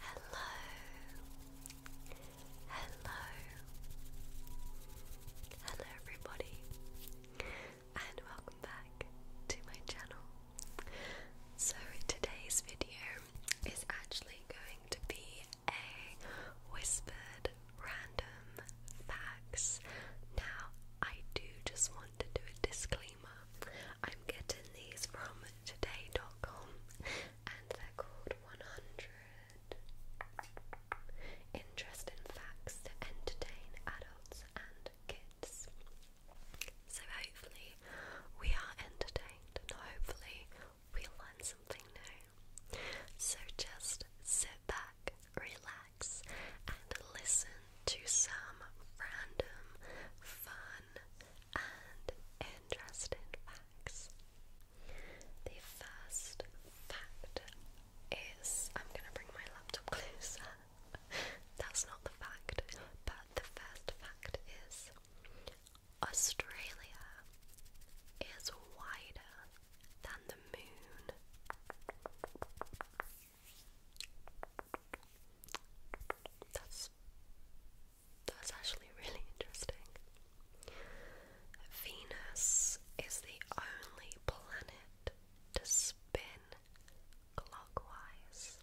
Hello, hello, hello everybody, and welcome back to my channel. So, today's video is actually going to be a whispered random facts. Now, I do just want to do a disclaimer. I'm getting these from today.com and they're called 100 Interesting Facts to Entertain Adults and Kids. So hopefully we are entertained and hopefully we learn something new. So just sit back, relax, and listen to some random, fun, and interesting facts. The first fact is I'm gonna bring my laptop closer. That's not the fact, but the first fact is Australia is wider than the moon. That's that's actually really interesting. Venus is the only planet to spin clockwise.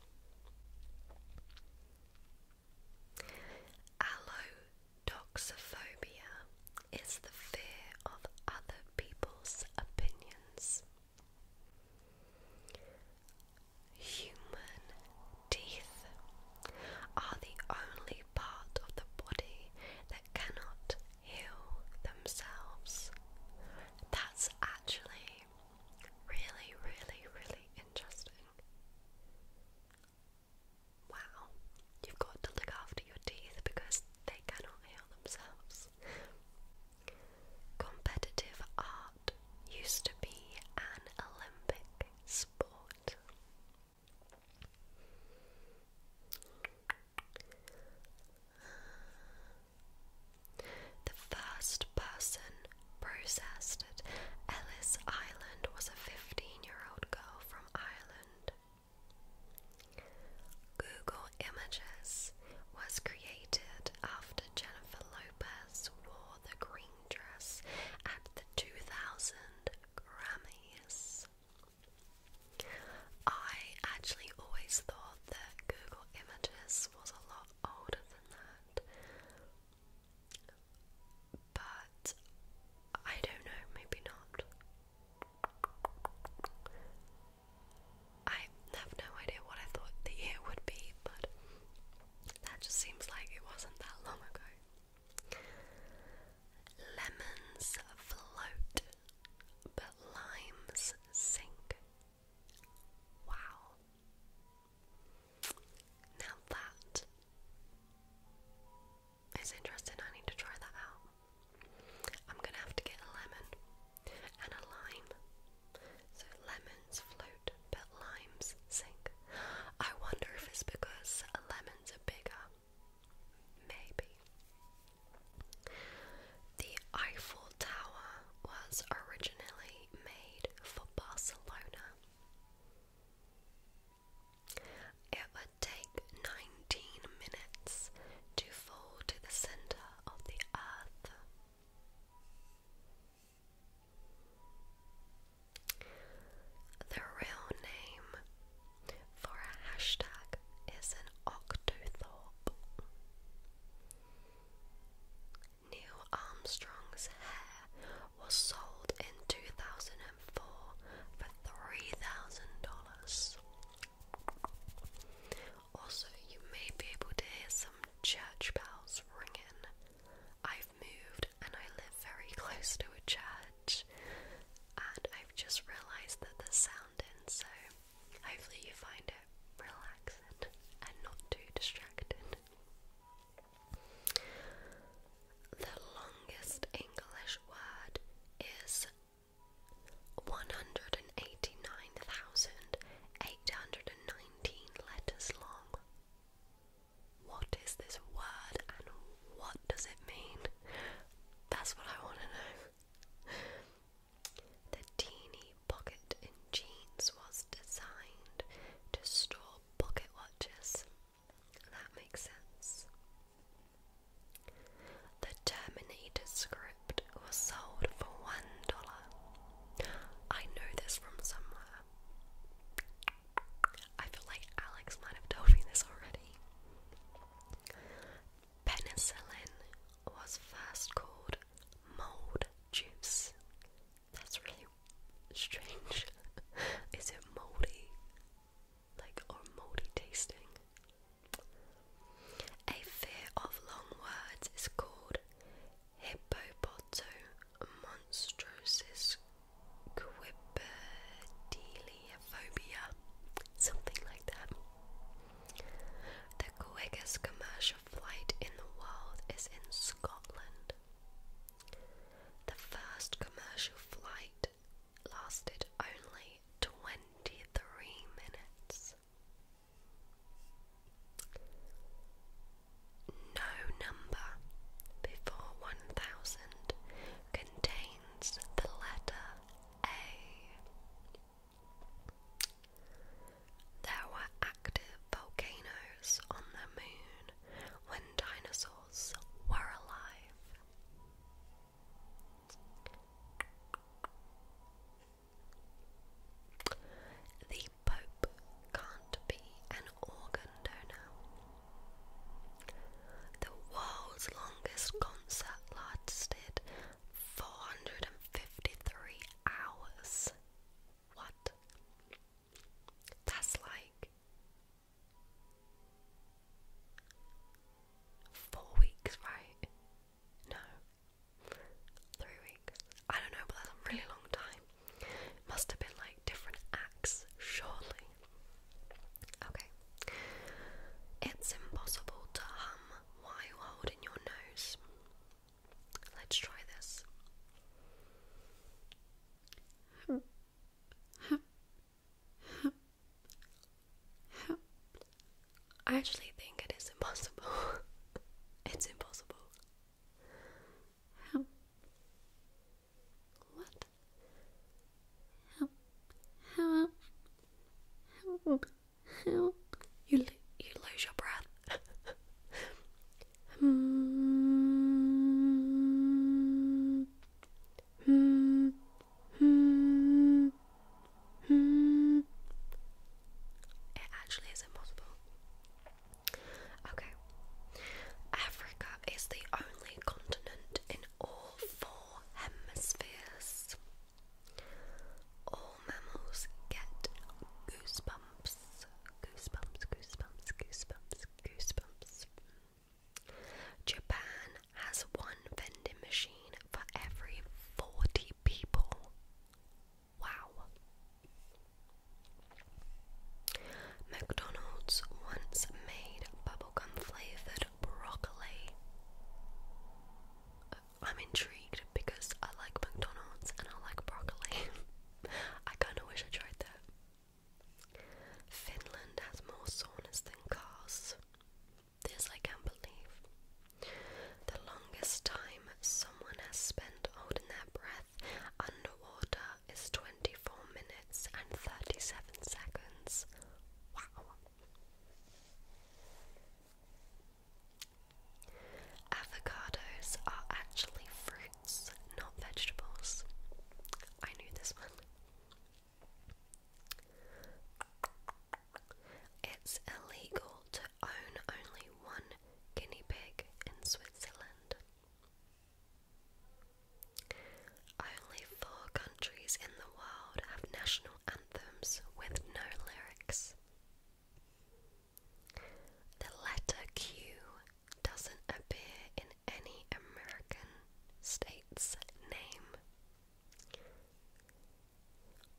Allodoxophobia is the fear of other people's opinions. Human teeth are the only part of the body that cannot heal themselves. That's actually really, really, really interesting. Wow, you've got to look after your teeth because they cannot heal themselves. Competitive art used to be an Olympic sport. The first person processed at Ellis Island was a 15 year old girl from Ireland. Google Images was created after Jennifer Lopez wore the green dress at the 2000 Grammys. I actually always thought that Google Images was a lot older than that. But I don't know, maybe not. I have no idea what I thought the year would be, but that just seems like it wasn't that long ago. Lemons float, but limes sink. Wow. Now that is interesting. I need to try that out. I'm gonna have to get a lemon and a lime. So lemons float, but limes sink. I wonder if it's because lemons are bigger. Maybe. The Eiffel Tower was originally made for Barcelona. It would take 19 minutes to fall to the center of the earth. The real name for a hashtag is an octothorpe. Neil Armstrong's hair was sold in 2004 for $3,000. Also, you may be able to hear some church bells ringing. I've moved and I live very close to a church, and I've just realised that there's sound in, so hopefully, you find it relaxing and not too distracting. The longest English word is 189,819 letters long. What is this word and what does it mean? That's what I want to know. The teeny pocket in jeans was designed to store pocket watches. That makes sense. The Terminator script was sold for $1. I know this from somewhere. I feel like Alex might have told me this already. Penicillin was first called mold juice. That's really strange. Is it moldy? Like, or moldy tasting? A fear of long words is called hippopotomonstrosis something like that. The quickest commercial flight in the world is in Scotland. The first commercial flight lasted only 23 minutes. No number before 1000 contains the letter A. There were active volcanoes on the moon when dinosaurs were alive. The Pope can't be an organ donor. The world's longest concert lasted 453 hours. What? That's like Four weeks, right? No. Three weeks. I don't know, but that's a really long time. Must have been like different acts, surely. Okay. It's impossible to hum while holding your nose. Let's try this. I actually think it is impossible. it's impossible. How? What? Help. Help. Help. You, you lose your breath. Hmm hmm, hmm, hmm. It actually is impossible. Okay. Africa is the only continent in all four hemispheres. All mammals get goosebumps. Goosebumps, goosebumps, goosebumps, goosebumps. Japan has one vending machine for every 40 people. Wow. McDonald's once made bubblegum flavored broccoli. Uh, I'm intrigued because I like McDonald's and I like broccoli. I kind of wish I tried that. Finland has more saunas than cars. This I can't believe. The longest time someone has spent holding their breath underwater is 24 minutes and 37 seconds. Wow. Avocados are actually fruits, not vegetables. I knew this one. It's illegal to own only one guinea pig in Switzerland. Only four countries in the world have national anthems with no lyrics. The letter Q doesn't appear in any American state's name.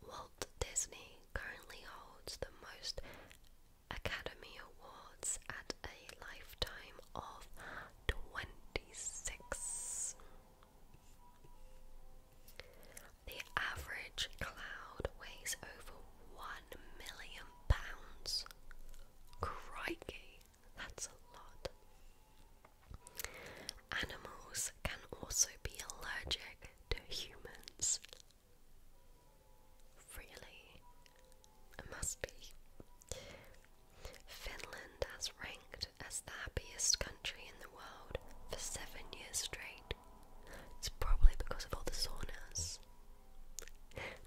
Walt Disney currently holds the most Academy Awards at a lifetime of 26. The average cloud weighs over 1 million pounds. Crikey! That's a lot. Animals can also be allergic to humans. Really? It must be. Finland has ranked as the happiest country in the world for seven years straight. It's probably because of all the saunas.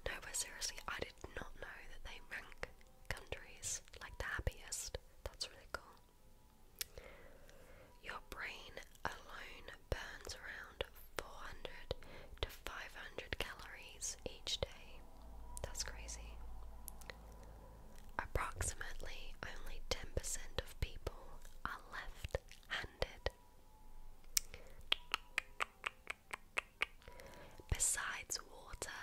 No, but seriously, I did not know that they rank countries like the happiest. That's really cool. Your brain alone burns around 400 to 500 calories each day. That's crazy. Approximately only 10% of people are left handed. Besides water,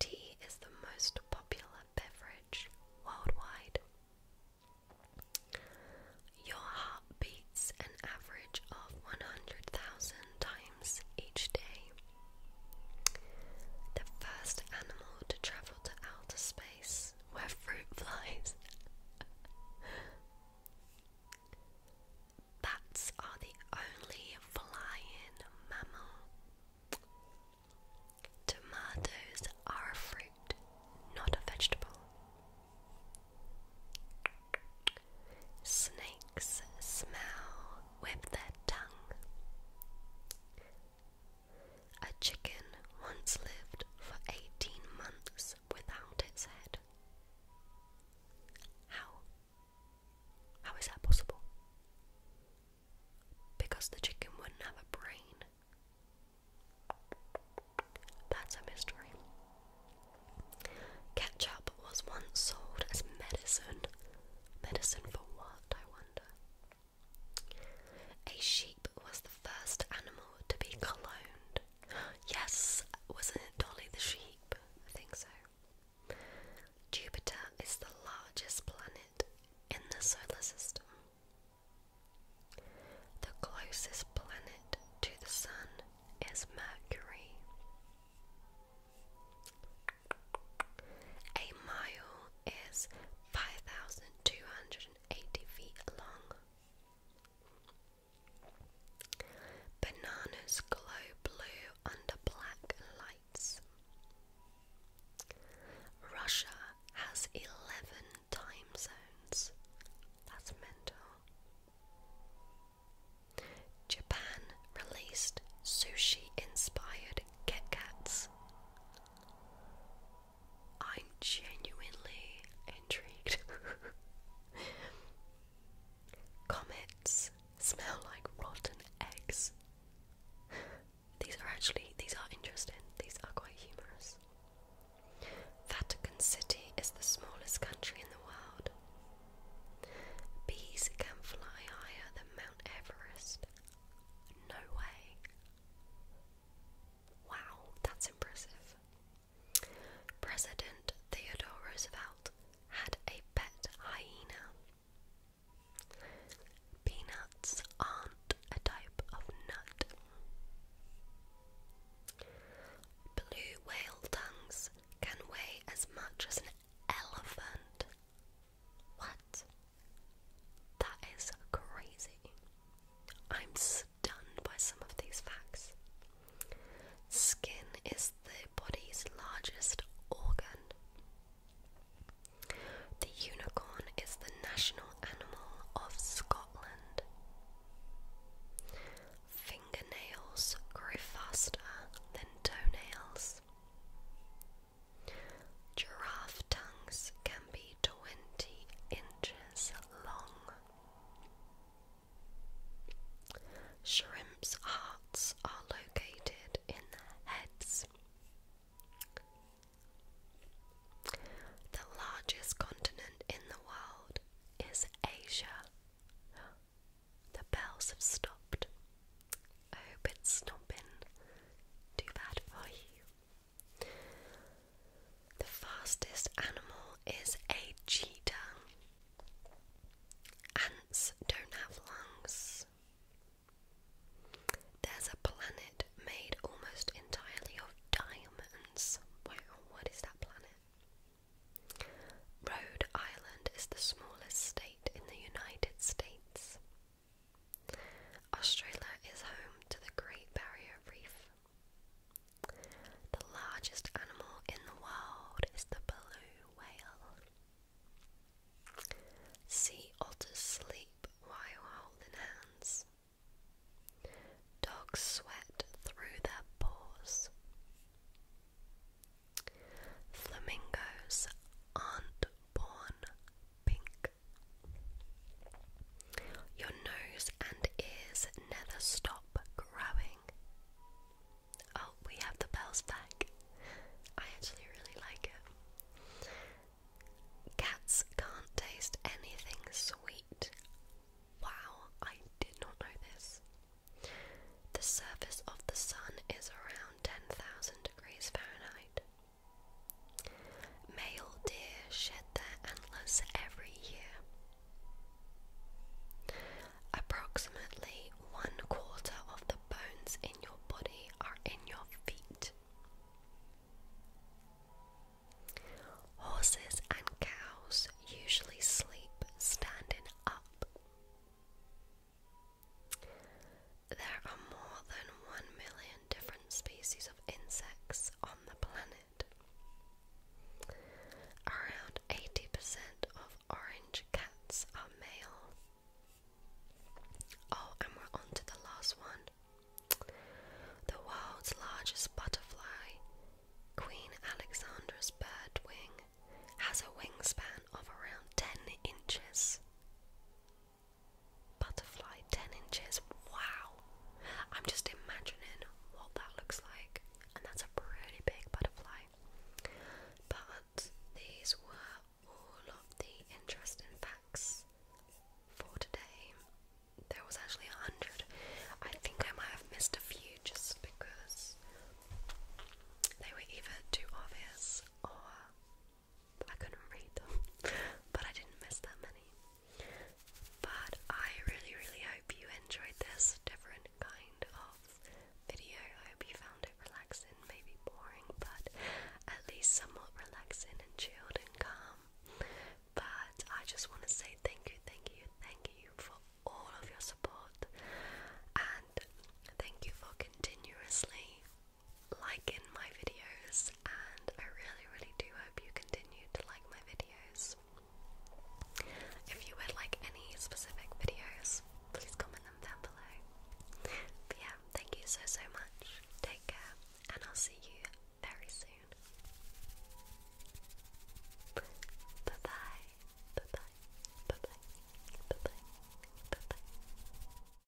tea is the most popular beverage worldwide. Your heart beats an average of 100,000 times each day. The first animal to travel to outer space were fruit flies bats are the only flying mammal. Tomatoes are a fruit, not a vegetable. Snakes smell with their tongue. A chicken once lived for 18 months without its head. How? How is that possible? Because the chicken wouldn't have a brain. That's a mystery. Ketchup was once sold as medicine. Medicine for what, I wonder? A sheep was the first animal to be cloned. Yes, wasn't it Dolly the sheep? I think so. Jupiter is the largest planet in the solar system. The closest planet to the Sun is Mercury. A mile is 5,280 feet long. Bananas glow blue under black lights. Russia has 11 time zones. That's mental. Japan released sushi inspired Kit I'm genuinely intrigued. Comets smell like rotten eggs. These are actually these are interesting. These are quite humorous. Vatican City is the smallest country in the world. Bees can fly higher than Mount Everest. No way. Wow, that's impressive. President Theodore Roosevelt had a pet hyena. Peanuts aren't a type of nut. Blue whale tongues can weigh as much as an elephant. What? That is crazy. I'm stunned by some of these facts. Skin is the body's largest organ. The unicorn is the national animal of Scotland. Fingernails grow faster than toenails. Giraffe tongues can be 20 inches long. Shrimps' hearts are located in their heads. The largest continent in the world is Asia. The bells have stopped. I hope it's not been too bad for you. The fastest animal is a cheetah. Ants don't have lungs. There's a planet made almost entirely of diamonds. Wow, what is that planet? Rhode Island is the smallest state in the United States. Australia is home to the Great Barrier Reef. The largest animal in the world is the blue whale. Sea otters sleep while holding hands. Dogs sweat through their paws. Flamingos aren't born pink. Your nose and ears never stop growing. Oh, we have the bells back. I actually really like it. Cats can't taste anything sweet. Wow, I did not know this. The surface of the sun is around 10,000 degrees Fahrenheit. Male deer shed their antlers every year. Approximately one quarter of the bones in your body are in your feet. Horses and cows usually sleep standing up. There are more than 1 million different species of insects on the planet. Around 80% of orange cats are male. Oh, and we're on to the last one. The world's largest butterfly, Queen Alexandra's birdwing, has a wingspan of around 10 inches. Butterfly 10 inches. Wow! I'm just imagining what that looks like, and that's a pretty big butterfly. But these were all of the interesting facts for today. There was actually a hundred. I think I might have missed a few just because they were either too obvious or I couldn't read them, but I didn't miss that many. But I really, really hope you enjoyed this different kind of video. I hope you found it relaxing, maybe boring, but at least somewhat relaxing and chilled and calm. But I just want to say thank you, thank you, thank you for all of your support and thank you for continuously like in my videos, and I really, really do hope you continue to like my videos. If you would like any specific videos, please comment them down below. yeah, thank you so, so much. Take care, and I'll see you very soon. Bye bye. Bye bye. Bye bye. Bye bye. Bye bye.